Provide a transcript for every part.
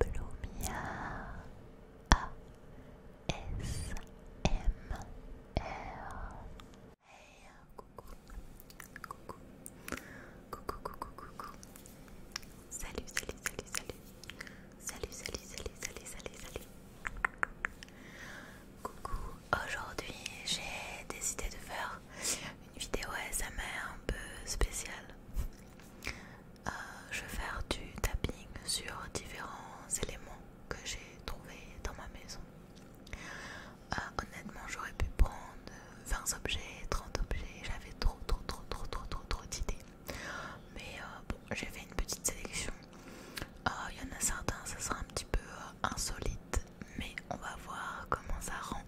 Blumia A S M R coucou coucou coucou coucou coucou Salut salut salut salut Salut salut salut salut salut salut Coucou aujourd'hui j'ai décidé de faire une vidéo ASMR un peu spéciale euh, je vais faire du tapping sur différents éléments que j'ai trouvés dans ma maison. Euh, honnêtement, j'aurais pu prendre 20 objets, 30 objets, j'avais trop, trop, trop, trop, trop, trop, trop d'idées. Mais euh, bon, j'ai fait une petite sélection. Il y en a certains, ça sera un petit peu insolite, mais on va voir comment ça rend.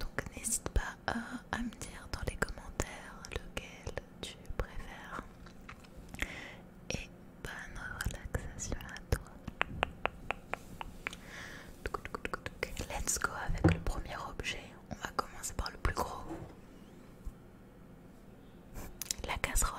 Donc n'hésite pas à à me dire dans les commentaires lequel tu préfères. Et bonne relaxation à toi. Let's go avec le premier objet. On va commencer par le plus gros. La casserole.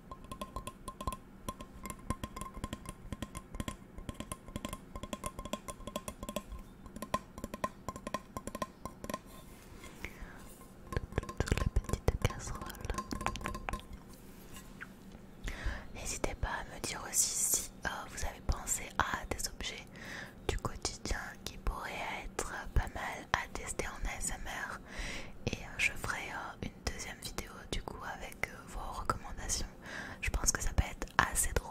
Toutes les petites N'hésitez pas à me dire aussi si euh, vous avez pensé à des objets du quotidien qui pourraient être pas mal à tester en ASMR et euh, je ferai euh, une deuxième vidéo du coup avec euh, vos recommandations. Je pense que ça peut être assez drôle.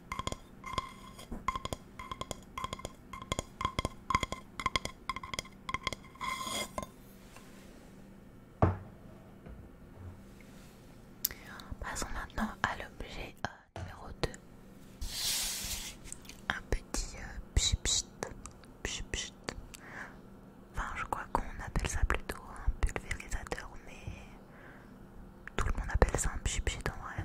Passons maintenant à l'objet euh, numéro 2. Un petit euh, pschit. Enfin, je crois qu'on appelle ça plutôt un pulvérisateur, mais tout le monde appelle ça un dans en vrai.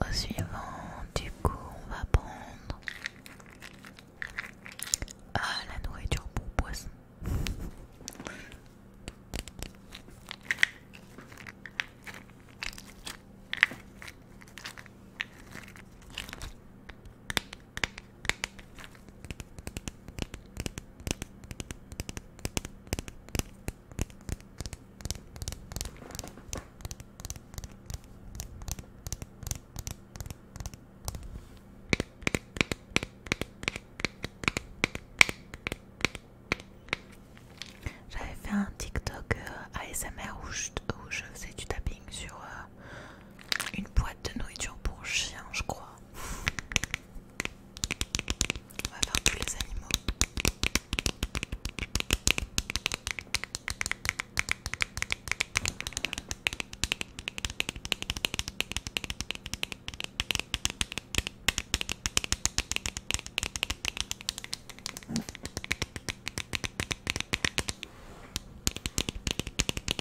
Au suivant, du coup, on va prendre ah, la nourriture pour poisson. J'avais fait un TikTok à euh, ASMR où je, où je faisais du tapping sur euh, une poêle de nourriture pour chien, je crois. On va faire tous les animaux.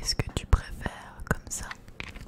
Est-ce que tu préfères comme ça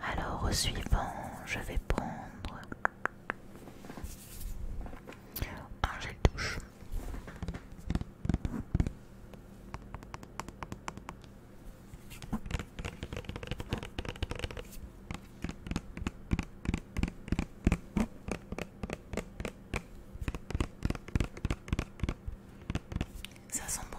Alors au suivant, je vais prendre un gel douche. Ça sent bon.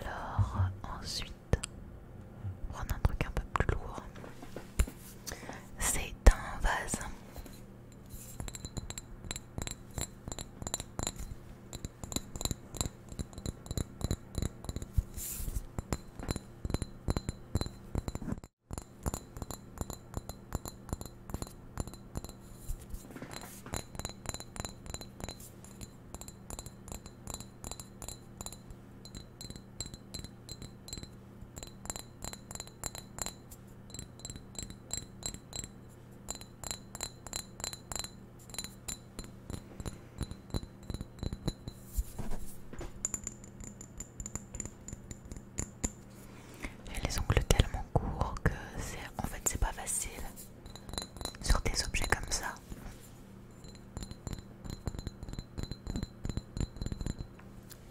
Alors ensuite, prendre un truc un peu plus lourd. C'est un vase. J'ai les ongles tellement courts que c'est en fait c'est pas facile sur des objets comme ça.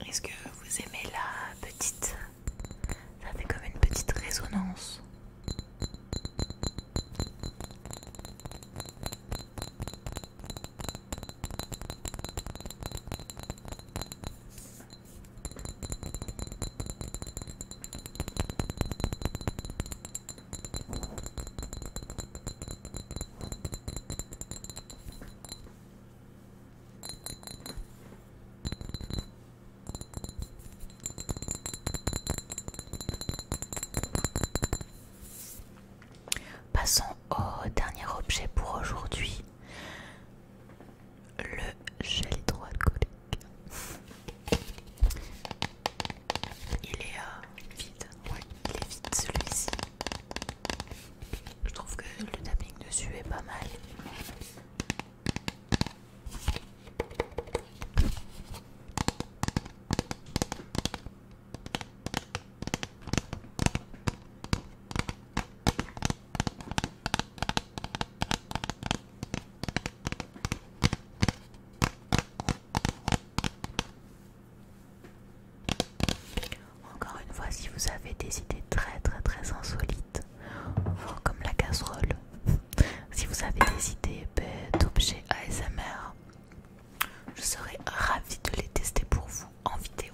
Est-ce que vous aimez la petite Ça fait comme une petite résonance. Passons au dernier objet pour aujourd'hui, le gel droit de coller il est euh, vide, ouais, il est vide celui-ci. Je trouve que le tapping dessus est pas mal. Encore une fois, si vous avez des idées très très très insolites, comme la casserole, si vous avez des idées d'objets ASMR, je serai ravie de les tester pour vous en vidéo.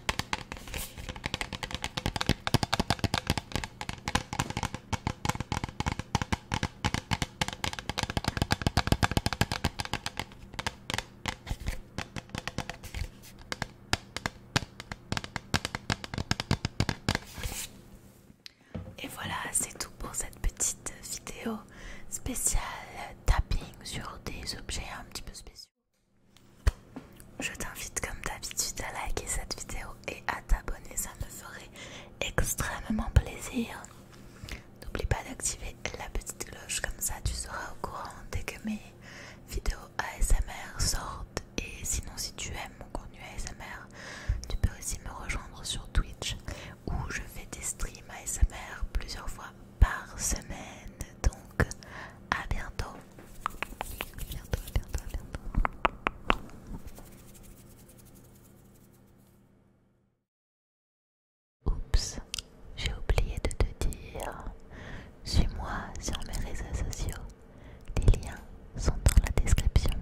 Et voilà, c'est tout pour cette petite vidéo spéciale tapping sur des objets un petit peu spéciaux. Je t'invite comme d'habitude à liker cette vidéo et à t'abonner, ça me ferait extrêmement plaisir. N'oublie pas d'activer la petite cloche, comme ça tu seras au courant dès que mes vidéos ASMR sortent. Et sinon, si tu aimes mon contenu ASMR, tu peux aussi me rejoindre sur Twitch où je fais des streams ASMR plusieurs fois par semaine. Donc à bientôt. Oups, j'ai oublié de te dire. Suis-moi sur mes réseaux sociaux. Les liens sont dans la description.